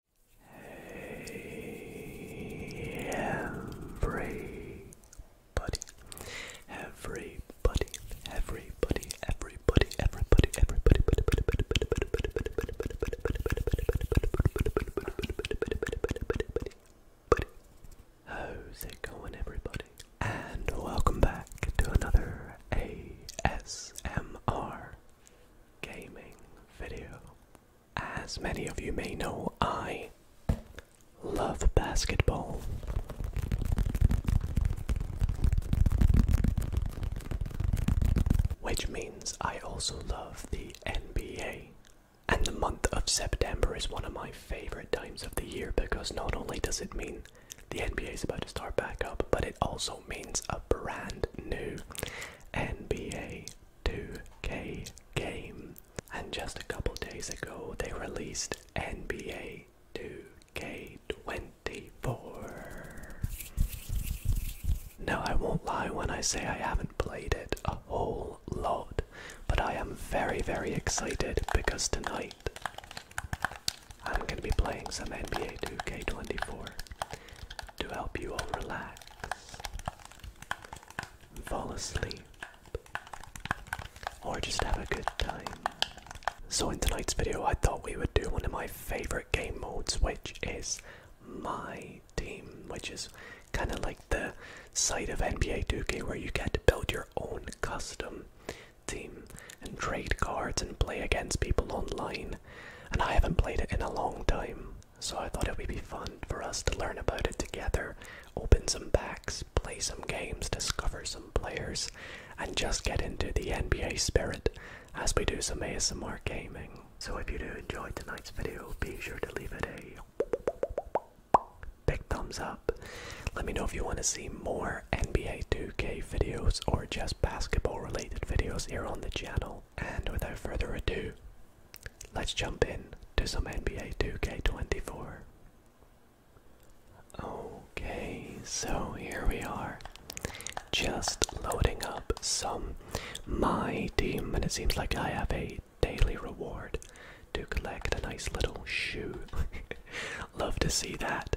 Hey everybody, everybody, everybody, everybody, everybody, everybody, How's it going everybody? And welcome back to another ASMR gaming video. As many of you may know, I love basketball. Which means I also love the NBA. And the month of September is one of my favorite times of the year because not only does it mean the NBA is about to start back up, but it also means a brand new NBA 2K game. And just a couple days ago, they released NBA 2K24. Now, I won't lie when I say I haven't played it a whole lot, but I am very, very excited because tonight I'm going to be playing some NBA 2K24 to help you all relax fall asleep, or just have a good time. So, in tonight's video, I thought we would do one of my favorite game modes, which is My Team, which is kind of like the side of NBA 2K where you get to build your own custom team and trade cards and play against people online. And I haven't played it in a long time so I thought it would be fun for us to learn about it together, open some packs, play some games, discover some players, and just get into the NBA spirit as we do some ASMR gaming. So if you do enjoy tonight's video, be sure to leave it a big thumbs up. Let me know if you want to see more NBA 2K videos or just basketball related videos here on the channel. And without further ado, let's jump in to some NBA 2K24. Okay, so here we are. Just loading up some My Team, and it seems like I have a daily reward to collect a nice little shoe. Love to see that.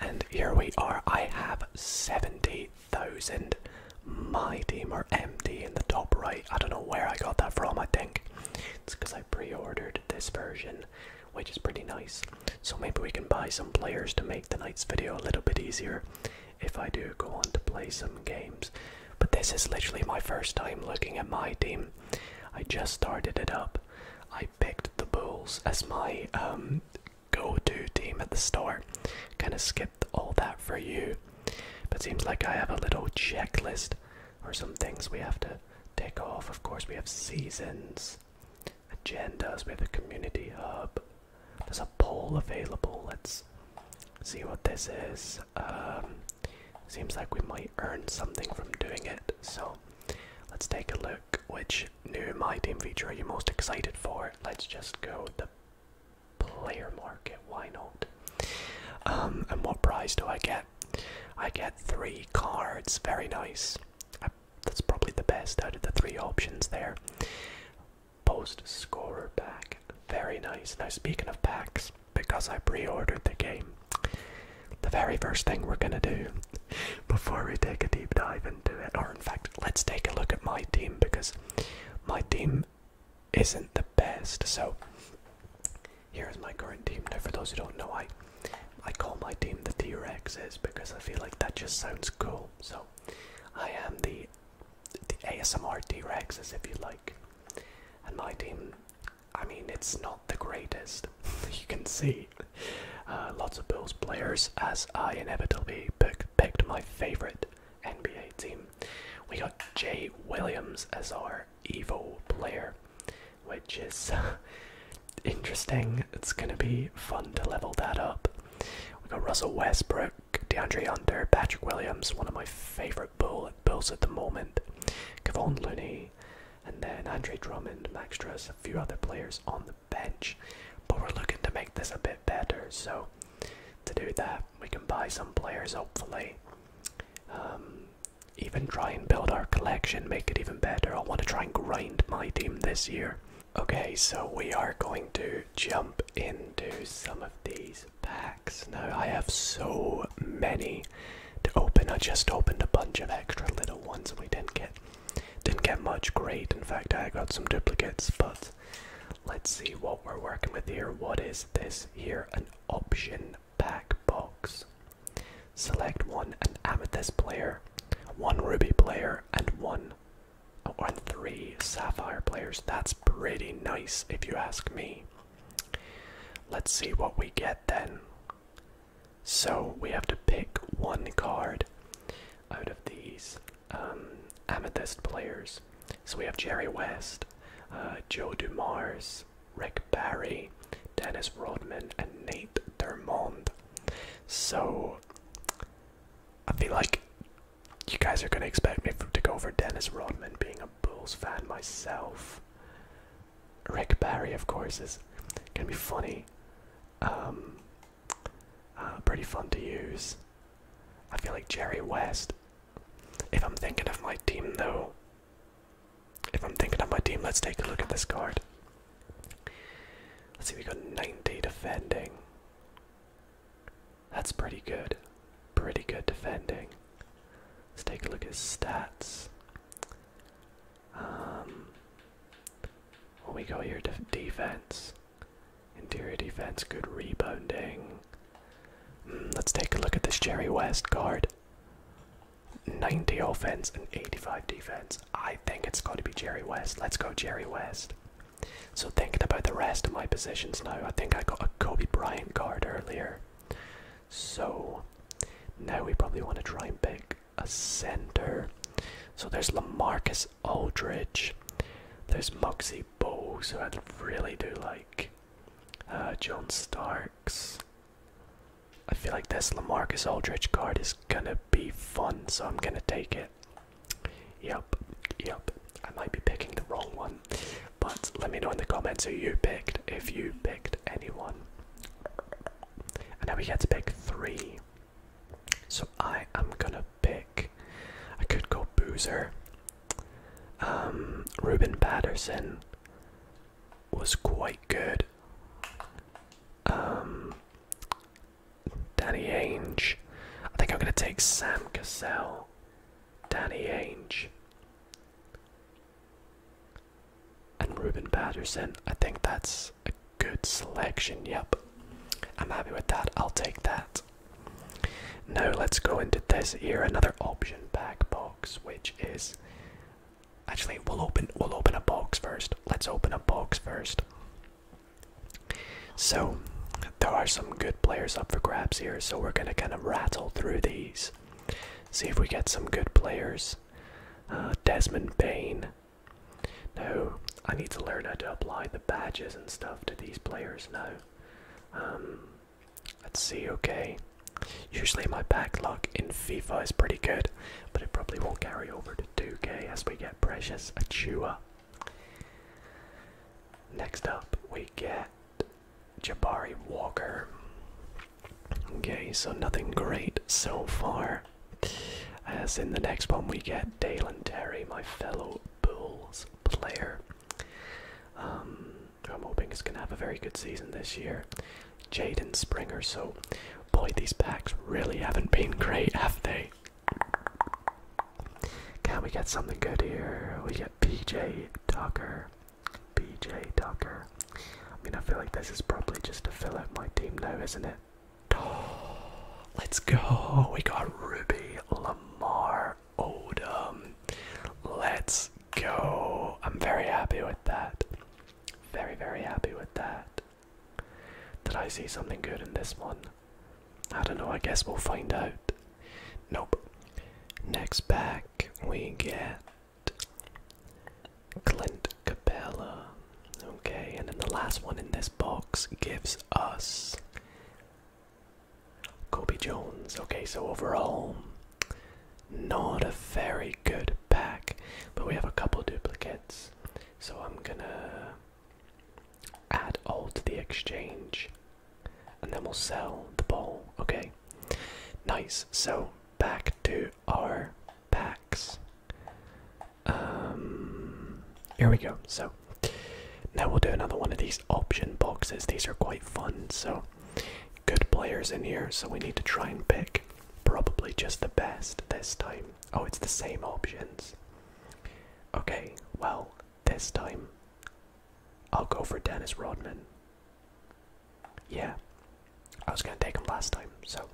And here we are. I have 70 thousand. My team are empty in the top right. I don't know where I got that from. I think it's because I pre-ordered this version, which is pretty nice. So maybe we can buy some players to make the night's video a little bit easier. If I do go on to play some games, but this is literally my first time looking at my team. I just started it up. I picked the Bulls as my um, go-to team at the start. Kind of skipped all that for you. But seems like I have a little checklist or some things we have to take off. Of course, we have seasons, agendas, we have a community hub. There's a poll available. Let's see what this is. Um, seems like we might earn something from doing it. So let's take a look. Which new My Team feature are you most excited for? Let's just go the player market. Why not? Um, and what prize do I get? I get three cards. Very nice. that's probably the best out of the three options there. Post scorer pack. Very nice. Now, speaking of packs, because I pre ordered the game, the very first thing we're going to do before we take a deep dive into it, or in fact, let's take a look at my team because my team isn't the best. So here is my current team. Now, for those who don't know, I I call my team the T Rexes because I feel like that just sounds cool. So I am the the ASMR T Rexes, if you like. And my team, I mean, it's not the greatest. you can see uh, lots of Bulls players as I inevitably pick, picked my favorite NBA team. We got Jay Williams as our Evo player, which is interesting. It's going to be fun to level that up. We got Russell Westbrook, DeAndre Hunter, Patrick Williams, one of my favourite bull Bulls at the moment, Kevon Looney, and then Andre Drummond, Max Truss, a few other players on the bench. But we're looking to make this a bit better, so to do that. We can buy some players, hopefully. Um, even try and build our collection, make it even better. I want to try and grind my team this year. Okay, so we are going to jump into some of these packs. Now, I have so many to open. I just opened a bunch of extra little ones and we didn't get didn't get much great. In fact, I got some duplicates, but Let's see what we're working with here. What is this here? An option pack box. Select one an amethyst player, one ruby player, and one or oh, three sapphire players. That's pretty nice if you ask me. Let's see what we get then. So we have to pick one card out of these. Um, amethyst players. So we have Jerry West, uh, Joe Dumars, Rick Barry, Dennis Rodman, and Nate Dermond. So I feel like you guys are going to expect me to go over Dennis Rodman being a Bulls fan myself. Rick Barry, of course, is going to be funny. Um, uh, pretty fun to use. I feel like Jerry West if I'm thinking of my team, though, if I'm thinking of my team, let's take a look at this card. Let's see, we got 90 defending. That's pretty good. Pretty good defending. Let's take a look at stats. Um, what we go here? Def defense. Interior defense, good rebounding. Hmm, let's take a look at this Jerry West guard. 90 offense and 85 defense. I think it's got to be Jerry West. Let's go, Jerry West. So, thinking about the rest of my positions now, I think I got a Kobe Bryant guard earlier. So, now we probably want to try and pick a center. So, there's Lamarcus Aldridge, there's Muggsy bow, so I really do like uh, John Starks. I feel like this Lamarcus Aldridge card is gonna be fun, so I'm gonna take it. Yep, yep. I might be picking the wrong one, but let me know in the comments who you picked if you picked anyone. And now we get to pick three. So I am gonna pick. I could go Boozer. Um, Reuben Patterson was quite good. Um, Danny Ainge. I think I'm going to take Sam Cassell. Danny Ainge. And Reuben Patterson. I think that's a good selection. Yep. I'm happy with that. I'll take that. Now let's go into this here, another option pack box, which is actually we'll open we'll open a box first. Let's open a box first. So there are some good players up for grabs here, so we're gonna kind of rattle through these. See if we get some good players. Uh, Desmond Bain. No, I need to learn how to apply the badges and stuff to these players now. Um, Let's see, okay. Usually my back luck in FIFA is pretty good, but it probably won't carry over to 2K as we get Precious a chewer. Next up, we get Jabari Walker. Okay, so nothing great so far. As in the next one, we get Dalen Terry, my fellow Bulls player um, I'm hoping is going to have a very good season this year. Jaden Springer. So, boy, these packs really haven't been great, have they? Can we get something good here? We get PJ Tucker. PJ Tucker. I mean, I feel like this is probably just to fill out my team now, isn't it? let's go. We got Ruby Lamar our um, Let's go. I'm very happy with that. Very, very happy with that. Did I see something good in this one? I don't know, I guess we'll find out. Nope. Next back, we get Clint Capella. Okay, and then the last one in this box gives us Kobe Jones. Okay, so overall, not a very good pack, but we have a couple duplicates. So I'm gonna add all to the exchange and then we'll sell the ball. Okay, nice. So back to our packs. Um, here we go. So now we'll do another one of these option boxes. These are quite fun, so good players in here, so we need to try and pick probably just the best this time. Oh, it's the same options. Okay, well, this time I'll go for Dennis Rodman. Yeah, I was gonna take him last time, so.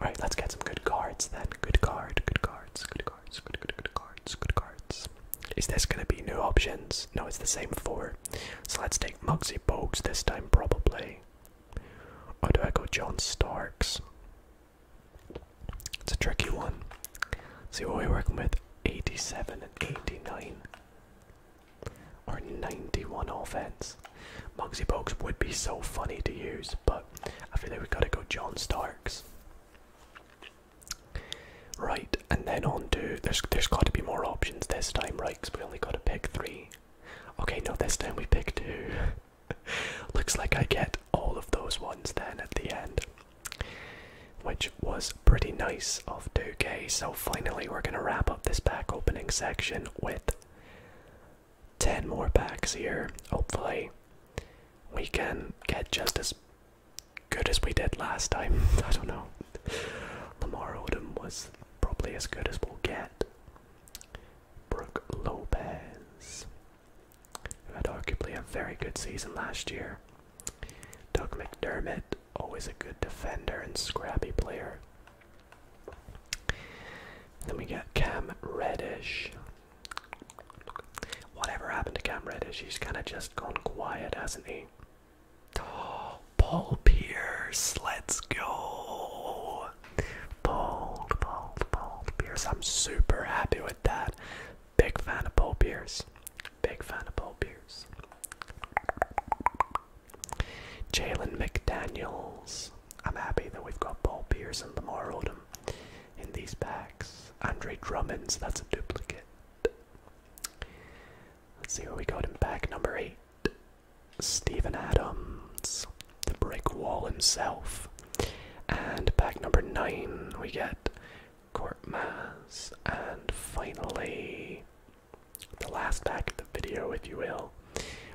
Alright, let's get some good cards then. Good card, good cards, good cards, good, good, good cards, good cards. Is this going to be new options? No, it's the same four. So let's take Mugsy Bogues this time, probably. Or do I go John Starks? It's a tricky one. See what we're working with 87 and 89. Or 91 offense. Mugsy Bogues would be so funny to use, but I feel like we gotta go John Starks. Right, and then on to there's there's got to be more options this time, right? Because we only got to pick three. Okay, no, this time we pick two. Looks like I get all of those ones then at the end, which was pretty nice of 2 So finally, we're gonna wrap up this pack opening section with ten more packs here. Hopefully, we can get just as good as we did last time. I don't know. Lamar Odom was probably as good as we'll get. Brooke Lopez, who had arguably a very good season last year. Doug McDermott, always a good defender and scrappy player. Then we get Cam Reddish. Whatever happened to Cam Reddish? He's kind of just gone quiet, hasn't he? Paul Pierce, let's go. Paul, Paul, Paul Pierce. I'm super happy with that. Big fan of Paul Pierce. Big fan of Paul Pierce. Jalen McDaniels. I'm happy that we've got Paul Pierce and Lamar Odom in these packs. Andre Drummond's, that's a duplicate. Let's see where we got in pack number eight. Stephen Adams, the brick wall himself. And pack number nine, we get Court Mass. And finally, the last pack of the video, if you will,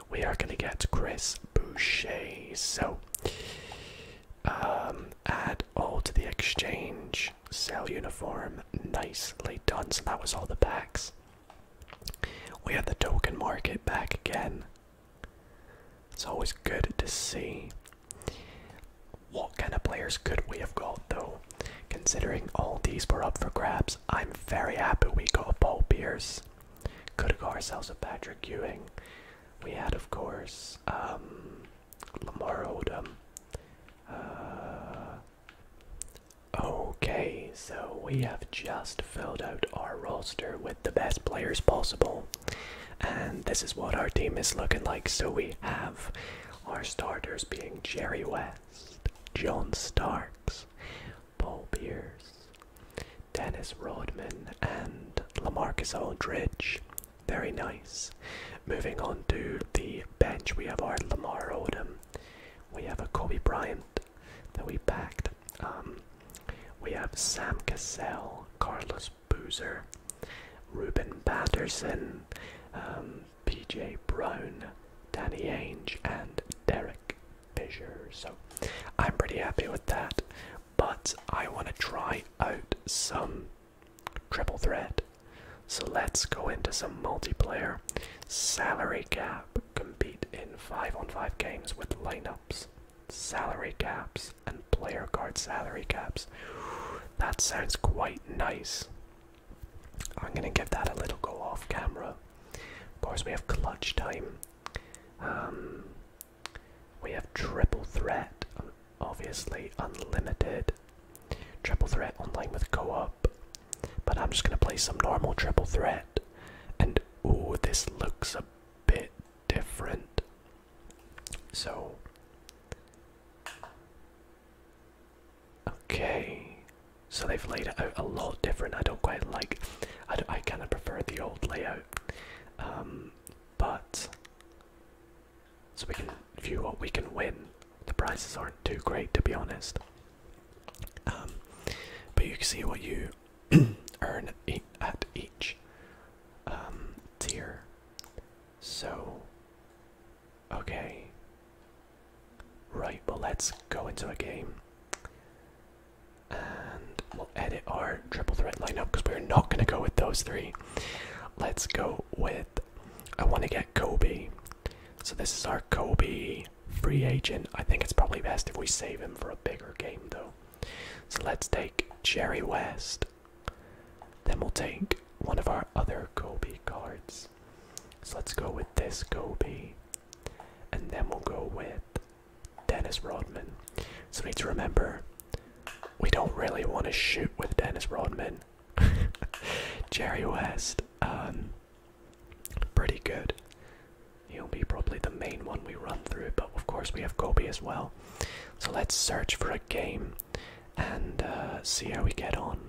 we are going to get Chris Boucher. So, um, add all to the exchange. Orange, uniform, nicely done. So that was all the packs. We had the token market back again. It's always good to see. What kind of players could we have got though? Considering all these were up for grabs, I'm very happy we got a Paul Pierce. Could have got ourselves a Patrick Ewing. We had, of course, um, Lamar Odom. Uh, okay, so we have just filled out our roster with the best players possible, and this is what our team is looking like. So we have our starters being Jerry West, John Starks, Paul Pierce, Dennis Rodman, and Lamarcus Aldridge. Very nice. Moving on to the bench, we have Art Lamar Odom. We have a Kobe Bryant that we backed. Um, we have Sam Cassell, Carlos Boozer, Ruben Patterson, um, PJ Brown, Danny Ainge, and Derek Fisher. So I'm pretty happy with that, but I want to try out some Triple threat. So let's go into some multiplayer. Salary cap. Compete in 5 on 5 games with lineups, salary caps, and player card salary caps. That sounds quite nice. I'm gonna give that a little go off camera. Of course, we have clutch time. Um, we have triple threat, obviously unlimited. Triple threat online with co-op. But I'm just gonna play some normal triple threat. And ooh, this looks a bit different. So Okay. So they've laid it out a lot different. I don't quite like I, I kind of prefer the old layout. Um, but so we can view what we can win. The prizes aren't too great to be honest, um, but you can see what you earn at each um, tier. So, okay, right. Well, let's go into a game. And we'll edit our triple threat lineup because we're not going to go with those three. Let's go with. I want to get Kobe so this is our Kobe free agent. I think it's probably best if we save him for a bigger game though. So let's take Jerry West. Then we'll take one of our other Kobe cards. So let's go with this Kobe. And then we'll go with Dennis Rodman. So we need to remember we don't really want to shoot with Dennis Rodman. Jerry West, um, pretty good. He'll be probably the main one we run through, but of course we have Kobe as well. So let's search for a game and uh, see how we get on.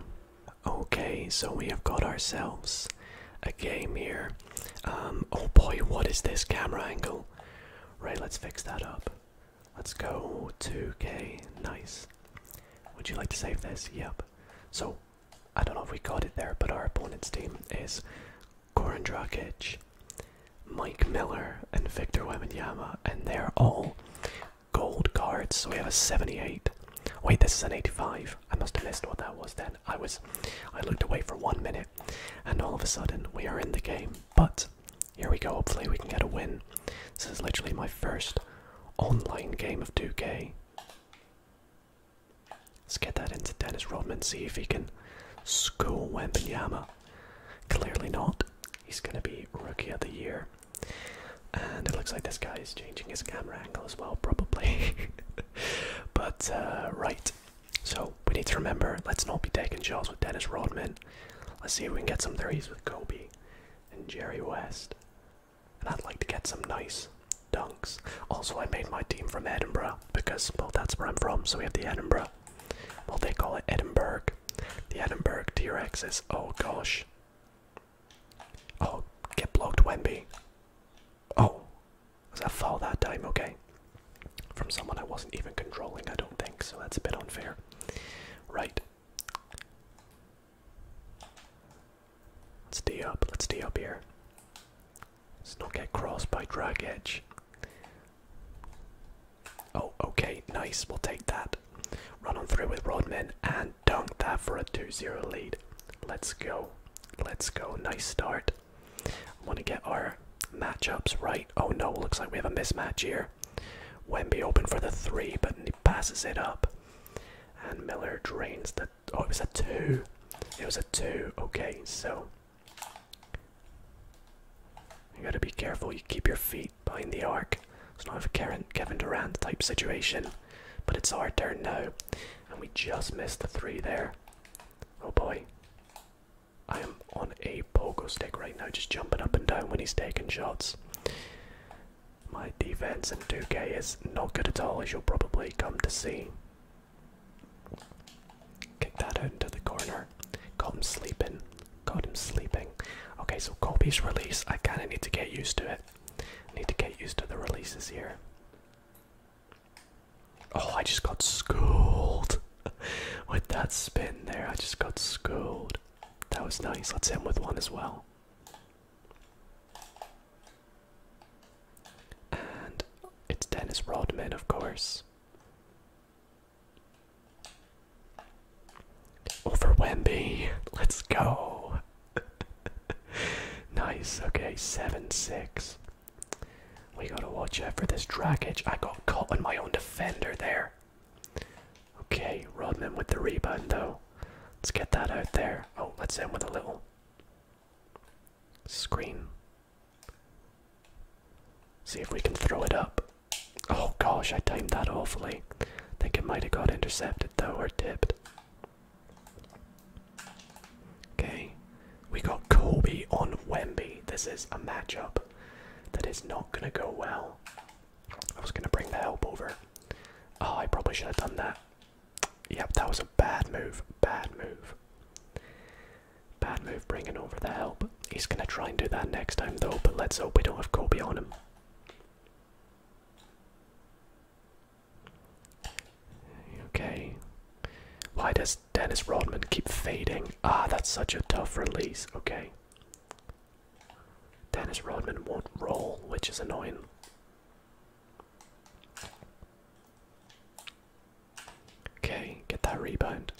Okay, so we have got ourselves a game here. Um, oh boy, what is this camera angle? Right, let's fix that up. Let's go 2K. Nice. Would you like to save this? Yep. So, I don't know if we got it there, but our opponent's team is Goran Mike Miller, and Victor Wembanyama, and they're all gold cards. So we have a 78. Wait, this is an 85. I must have missed what that was then. I was, I looked away for one minute, and all of a sudden we are in the game. But here we go. Hopefully we can get a win. This is literally my first online game of 2K. Let's get that into Dennis Rodman, and see if he can school Wembenyama. Clearly not. He's going to be Rookie of the Year. And it looks like this guy is changing his camera angle as well, probably. but, uh, right. So, we need to remember let's not be taking shots with Dennis Rodman. Let's see if we can get some threes with Kobe and Jerry West and I'd like to get some nice dunks. Also, I made my team from Edinburgh because, well, that's where I'm from, so we have the Edinburgh. Well, they call it Edinburgh. The Edinburgh T Rex is, oh gosh. Oh, get blocked, Wemby. Oh, was that foul that time? Okay. From someone I wasn't even controlling, I don't think, so that's a bit unfair. Right. Let's D up. Let's D up here. Let's not get crossed by drag edge. Oh, okay, nice. We'll take that. Run on three with Rodman and dunk that for a 2-0 lead. Let's go. Let's go. Nice start. I want to get our matchups right. Oh no, looks like we have a mismatch here. Wemby open for the three, but he passes it up and Miller drains the. Oh, it was a two. It was a two. Okay, so you gotta be careful. You keep your feet behind the arc. It's not a Kevin Durant type situation, but it's our turn now, and we just missed the three there. Oh boy. I am on a pogo stick right now, just jumping up and down when he's taking shots. My defense in 2K is not good at all, as you'll probably come to see. Kick that into the corner. Got him sleeping. Got him sleeping. Okay, so Colby's release. I kind of need to get used to it. I need to get used to the releases here. Oh, I just got schooled. with that spin there, I just got schooled. That was nice. Let's end with one as well. And it's Dennis Rodman, of course. Over Wemby. Let's go. nice. Okay, 7 6. We gotta watch out for this draggage. I got caught on my own defender there. Okay, Rodman with the rebound though. Let's get that out there. Oh, let's end with a little screen. See if we can throw it up. Oh gosh, I timed that awfully. Think it might have got intercepted though or tipped. Okay, we got Kobe on Wemby. This is a matchup that is not gonna go well. I was gonna bring the help over. Oh, I probably should have done that. Yep, that was a bad move. Bad move. Bad move bringing over the help. He's going to try and do that next time, though, but let's hope we don't have Kobe on him. Okay. Why does Dennis Rodman keep fading? Ah, that's such a tough release. Okay. Dennis Rodman won't roll, which is annoying. Okay, get that rebound.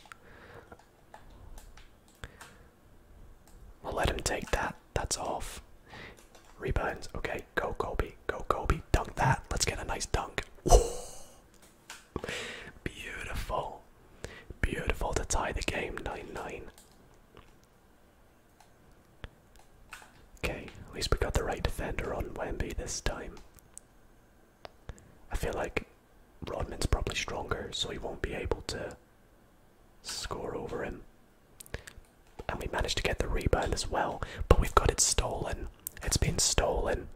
let him take that. That's off. Rebounds. Okay, go Kobe. Go Kobe. Dunk that. Let's get a nice dunk. Beautiful. Beautiful to tie the game 9 9. Okay, at least we got the right defender on Wemby this time. I feel like Rodman's probably stronger, so he won't be able to score over him. And we managed to get the rebound as well, but we've got it stolen. It's been stolen,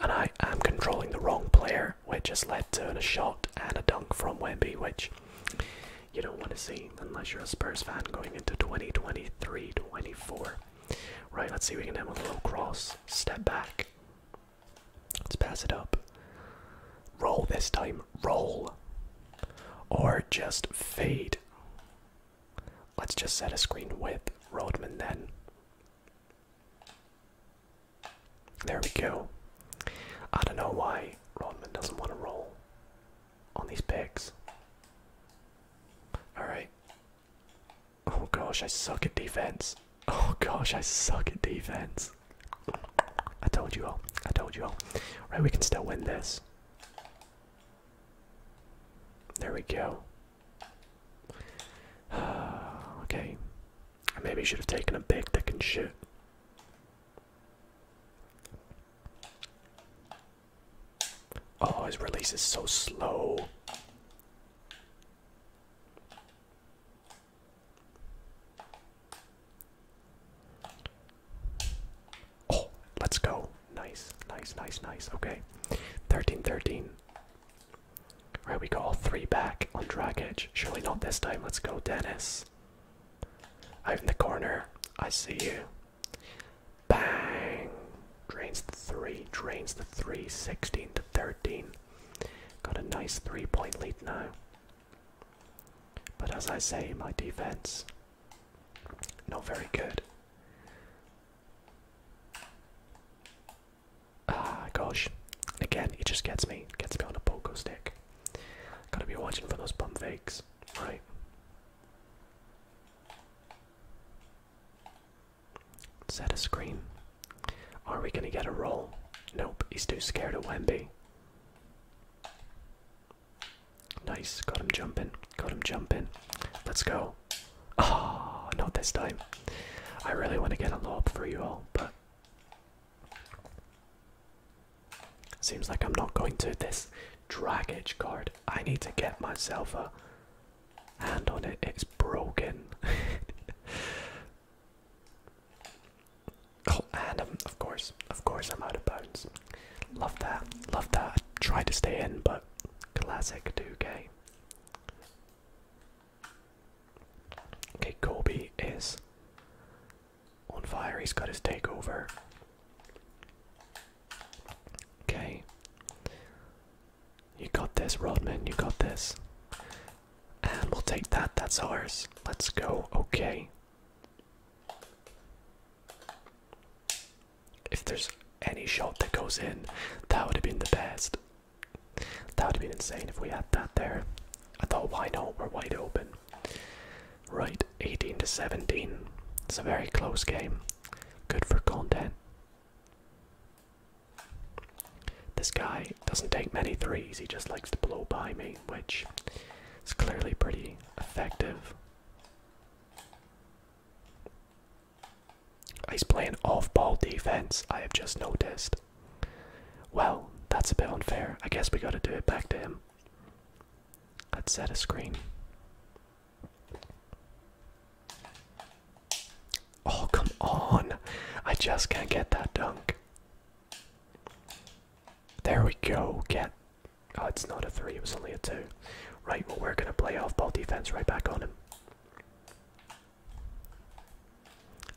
and I am controlling the wrong player, which has led to a shot and a dunk from Wemby, which you don't want to see unless you're a Spurs fan going into 2023 24. Right, let's see. We can have a little cross, step back. Let's pass it up. Roll this time, roll. Or just fade. Let's just set a screen with Rodman then. There we go. I don't know why Rodman doesn't want to roll on these pigs. Alright. Oh gosh, I suck at defense. Oh gosh, I suck at defense. I told you all. I told you all. Right, we can still win this. There we go. okay. I maybe should have taken a big, that can shoot. Oh, his release is so slow. Oh, let's go. Nice, nice, nice, nice. Okay. thirteen, thirteen. Right, we got all three back on drag edge. Surely not this time. Let's go, Dennis. Out in the corner. I see you. Bang! Drains the 3, drains the 3, 16 to 13. Got a nice three point lead now. But as I say, my defense, not very good. Ah, gosh. Again, it just gets me, gets me on a pogo stick. Gotta be watching for those pump fakes, right? Set a screen. Are we going to get a roll? Nope, he's too scared of Wemby. Nice, got him jumping, got him jumping. Let's go. Ah, oh, not this time. I really want to get a lob for you all, but Seems like I'm not going to. This drag edge card, I need to get myself a hand on it. It's broken. oh, and um, of course, of course, I'm out of bounds. Love that, love that. I tried to stay in, but classic 2K. Okay, Corby is on fire. He's got his takeover. Okay. You got this, Rodman. You got this. And we'll take that. That's ours. Let's go. Okay. If there's any shot that goes in, that would have been the best. That would have been insane if we had that there. I thought, why not? We're wide open. Right, 18 to 17. It's a very close game. Good for content. This guy doesn't take many threes, he just likes to blow by me, which is clearly pretty effective. He's playing off ball defense, I have just noticed. Well, that's a bit unfair. I guess we gotta do it back to him. Let's set a screen. Oh, come on. I just can't get that dunk. There we go. Get. Oh, it's not a three, it was only a two. Right, well, we're going to play off ball defense right back on him.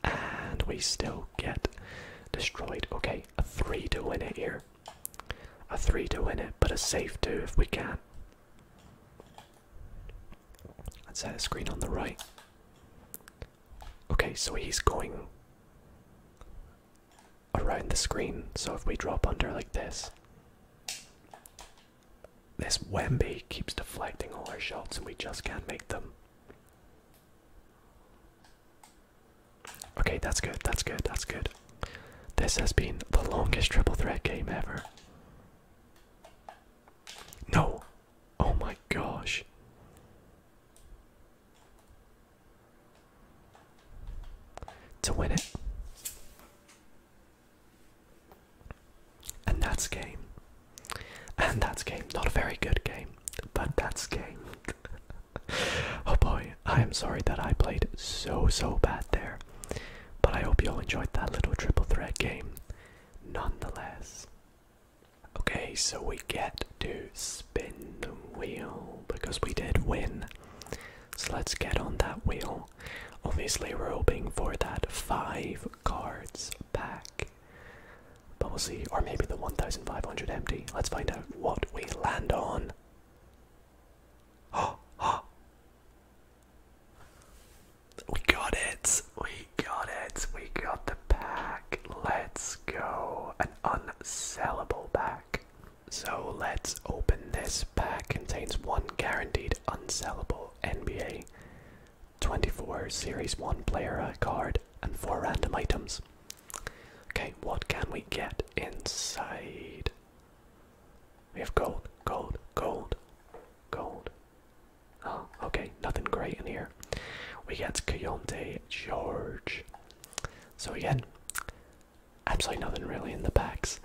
And we still get destroyed. Okay, a three to win it here. A three to win it, but a safe two if we can. Let's set a screen on the right. Okay, so he's going around the screen. So if we drop under like this, this Wemby keeps deflecting all our shots and we just can't make them. Okay, that's good, that's good, that's good. This has been the longest triple threat game ever. No! Oh my gosh. To win it. And that's game. And that's game. Not a very good game, but that's game. oh boy, I am sorry that I played so, so bad there. But I hope you all enjoyed that little triple threat game nonetheless. Okay, so we get to spin the wheel because we did win. So let's get on that wheel. Obviously, we're hoping for that five cards pack. But we'll see, or maybe the 1500 empty. Let's find out what we land on. We got it. We got it. We got the pack. Let's go. An unsellable pack. So let's open this pack. Contains one guaranteed unsellable NBA 24 Series 1 player card and four random items. Okay, what can we get inside? We have gold, gold, gold, gold. Oh, okay, nothing great in here. We get Coyote George. So again, absolutely nothing really in the packs.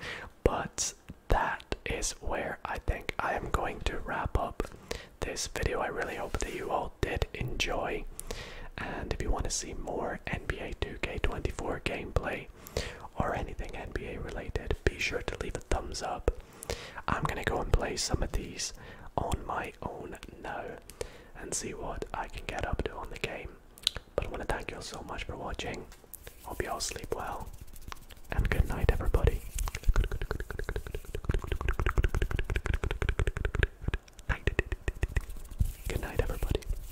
But that is where I think I am going to wrap up this video. I really hope that you all did enjoy. And if you want to see more NBA 2K24 gameplay, or anything NBA related, be sure to leave a thumbs up. I'm gonna go and play some of these on my own now and see what I can get up to on the game. But I wanna thank you all so much for watching. Hope you all sleep well. And good night everybody. Good night everybody.